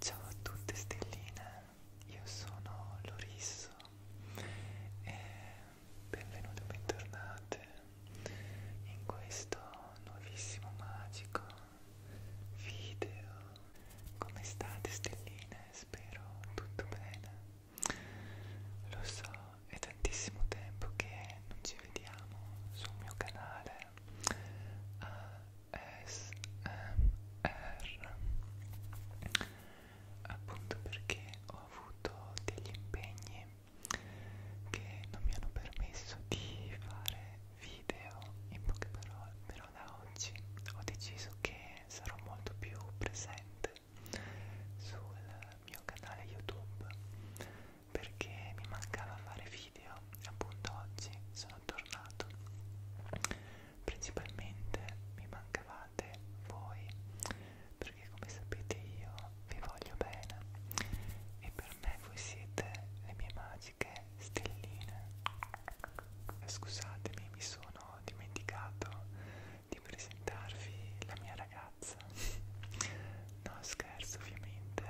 Ciao a tutte stelline, io sono Lorisso e benvenute o bentornate in questo nuovissimo magico video. Come state stelline? Spero tutto bene. Lo so, è tantissimo tempo che non ci vediamo sul mio canale ASMR appunto perché ho avuto degli impegni che non mi hanno permesso di fare video in poche parole però da oggi ho deciso che sarò molto più presente sul mio canale YouTube perché mi mancava fare video e appunto oggi sono tornato. Principalmente mi mancavate voi perché come sapete io vi voglio bene e per me voi siete le mie magiche stelline. Scusatemi, mi sono dimenticato di presentarvi la mia ragazza. No, scherzo ovviamente,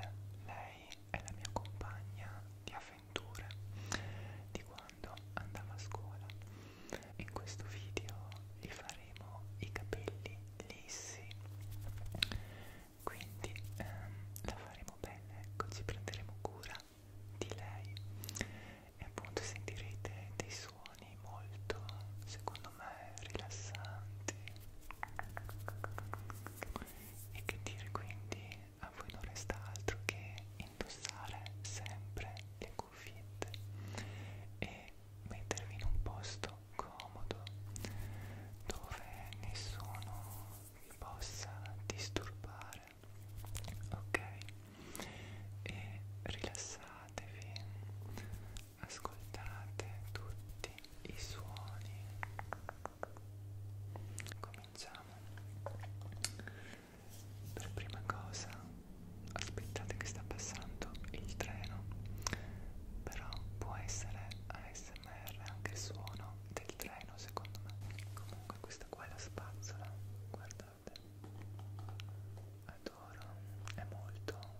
lei è la mia compagna di avventure di quando andavo a scuola. In questo video gli faremo i capelli lissi, quindi ehm, la faremo bene, ecco, ci prenderemo cura di lei e appunto sentirete dei suoni suoni molto, secondo me, rilassanti e che dire quindi a voi non resta altro che indossare sempre le cuffiette e mettervi in un posto comodo dove nessuno vi possa disturbare ok e rilassatevi ascoltate tutti i suoni cominciamo per prima cosa aspettate che sta passando il treno però può essere ASMR anche il suono del treno secondo me comunque questa qua è la spazzola guardate adoro è molto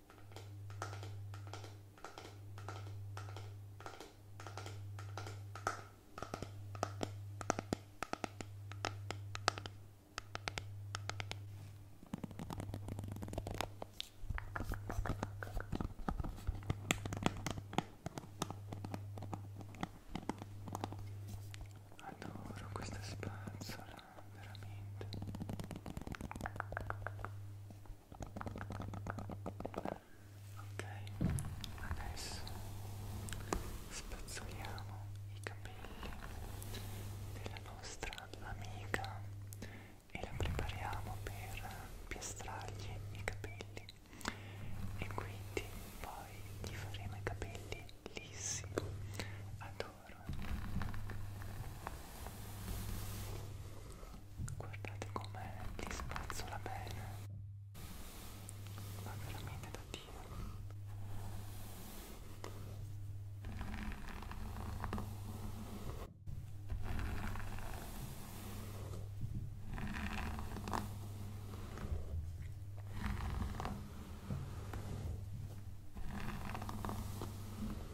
Adoro questa spazzola veramente. Ok, adesso spazzoliamo i capelli della nostra amica e la prepariamo per piastrargli i capelli e quindi poi gli faremo i capelli lissi. Adoro vero guardate come ti spazzola bene ma veramente da dio Ecco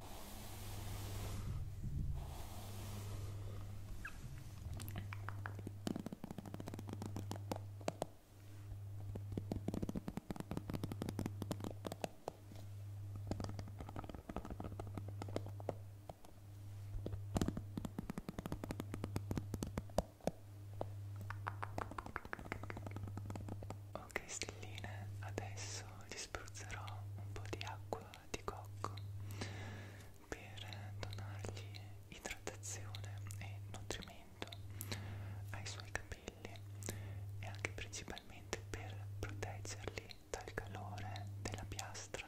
Ok stelline, adesso gli spruzzerò un po' di acqua di cocco per donargli idratazione e nutrimento ai suoi capelli e anche principalmente per proteggerli dal calore della piastra.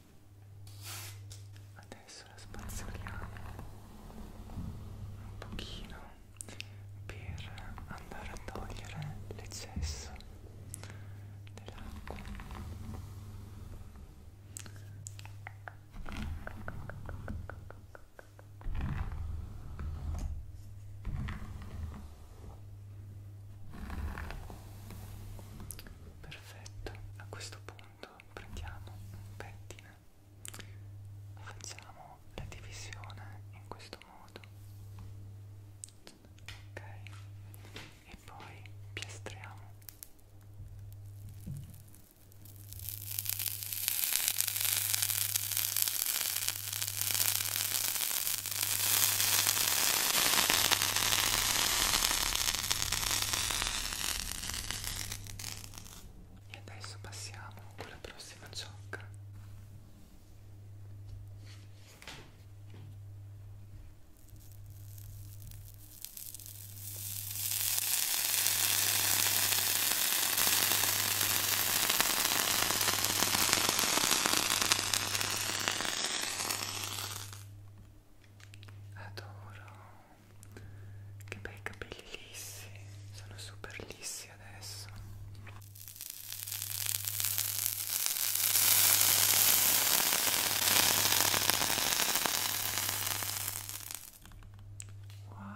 adesso la spazzoliamo un pochino per andare a togliere l'eccesso dell'acqua perfetto a questo punto punto prendiamo un pettine facciamo la divisione in questo modo ok e poi piastriamo e adesso passiamo alla prossima ciocca adoro che bei capelli lissi sono super lissi adesso wow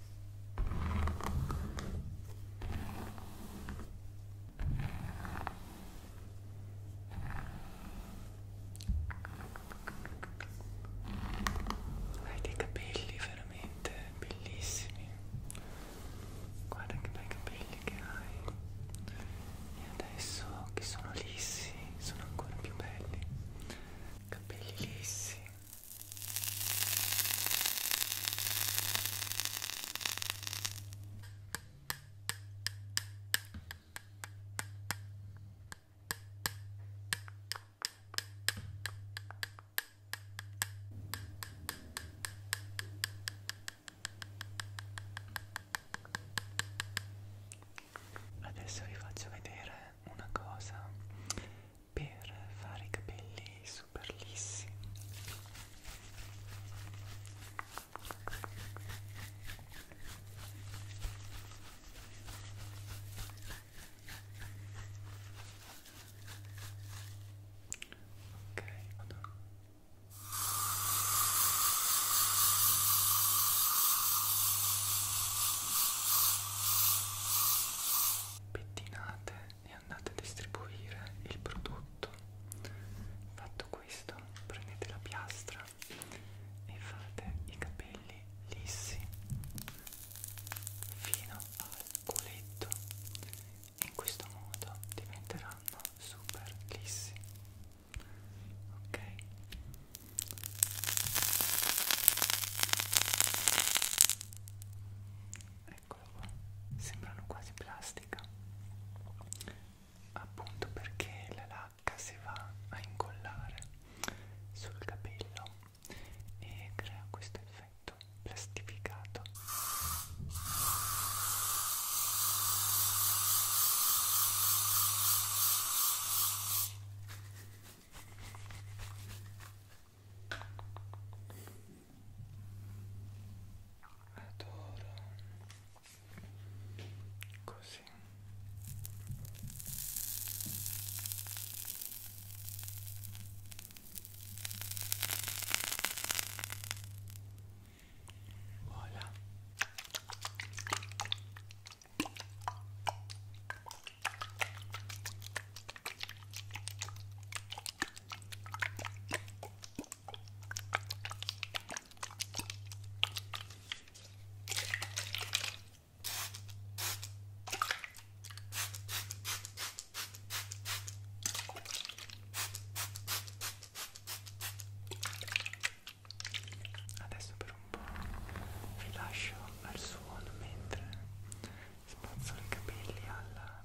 Hai dei capelli veramente bellissimi. Guarda che bei capelli che hai. E adesso che sono lissi, sono ancora più belli. Capelli lissi Adesso vi faccio vedere una cosa per fare i capelli super lissi ok vado pettinate e andate a distribuire il prodotto fatto questo prendete la piastra e fate i capelli lissi fino al culetto in questo modo diventeranno super lissi ok ecco eccolo qua sembrano quasi plastica appunto perché la lacca si va a incollare sul capello e crea questo effetto plastificato adoro così voilà Adesso per un po' vi lascio al suono mentre spazzo i capelli alla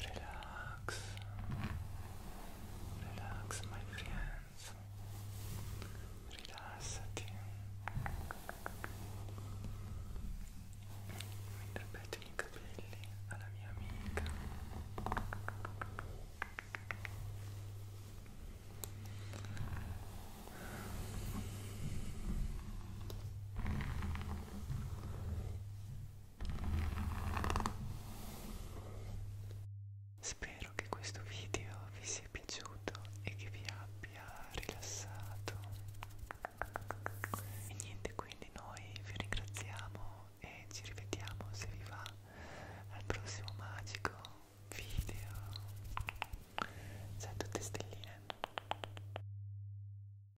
Relax, relax my friends, rilassati. Mentre petto i capelli alla mia amica. Spero che questo video vi sia piaciuto e che vi abbia rilassato. E niente, quindi noi vi ringraziamo e ci rivediamo se vi va al prossimo magico video. Ciao a tutte stelline.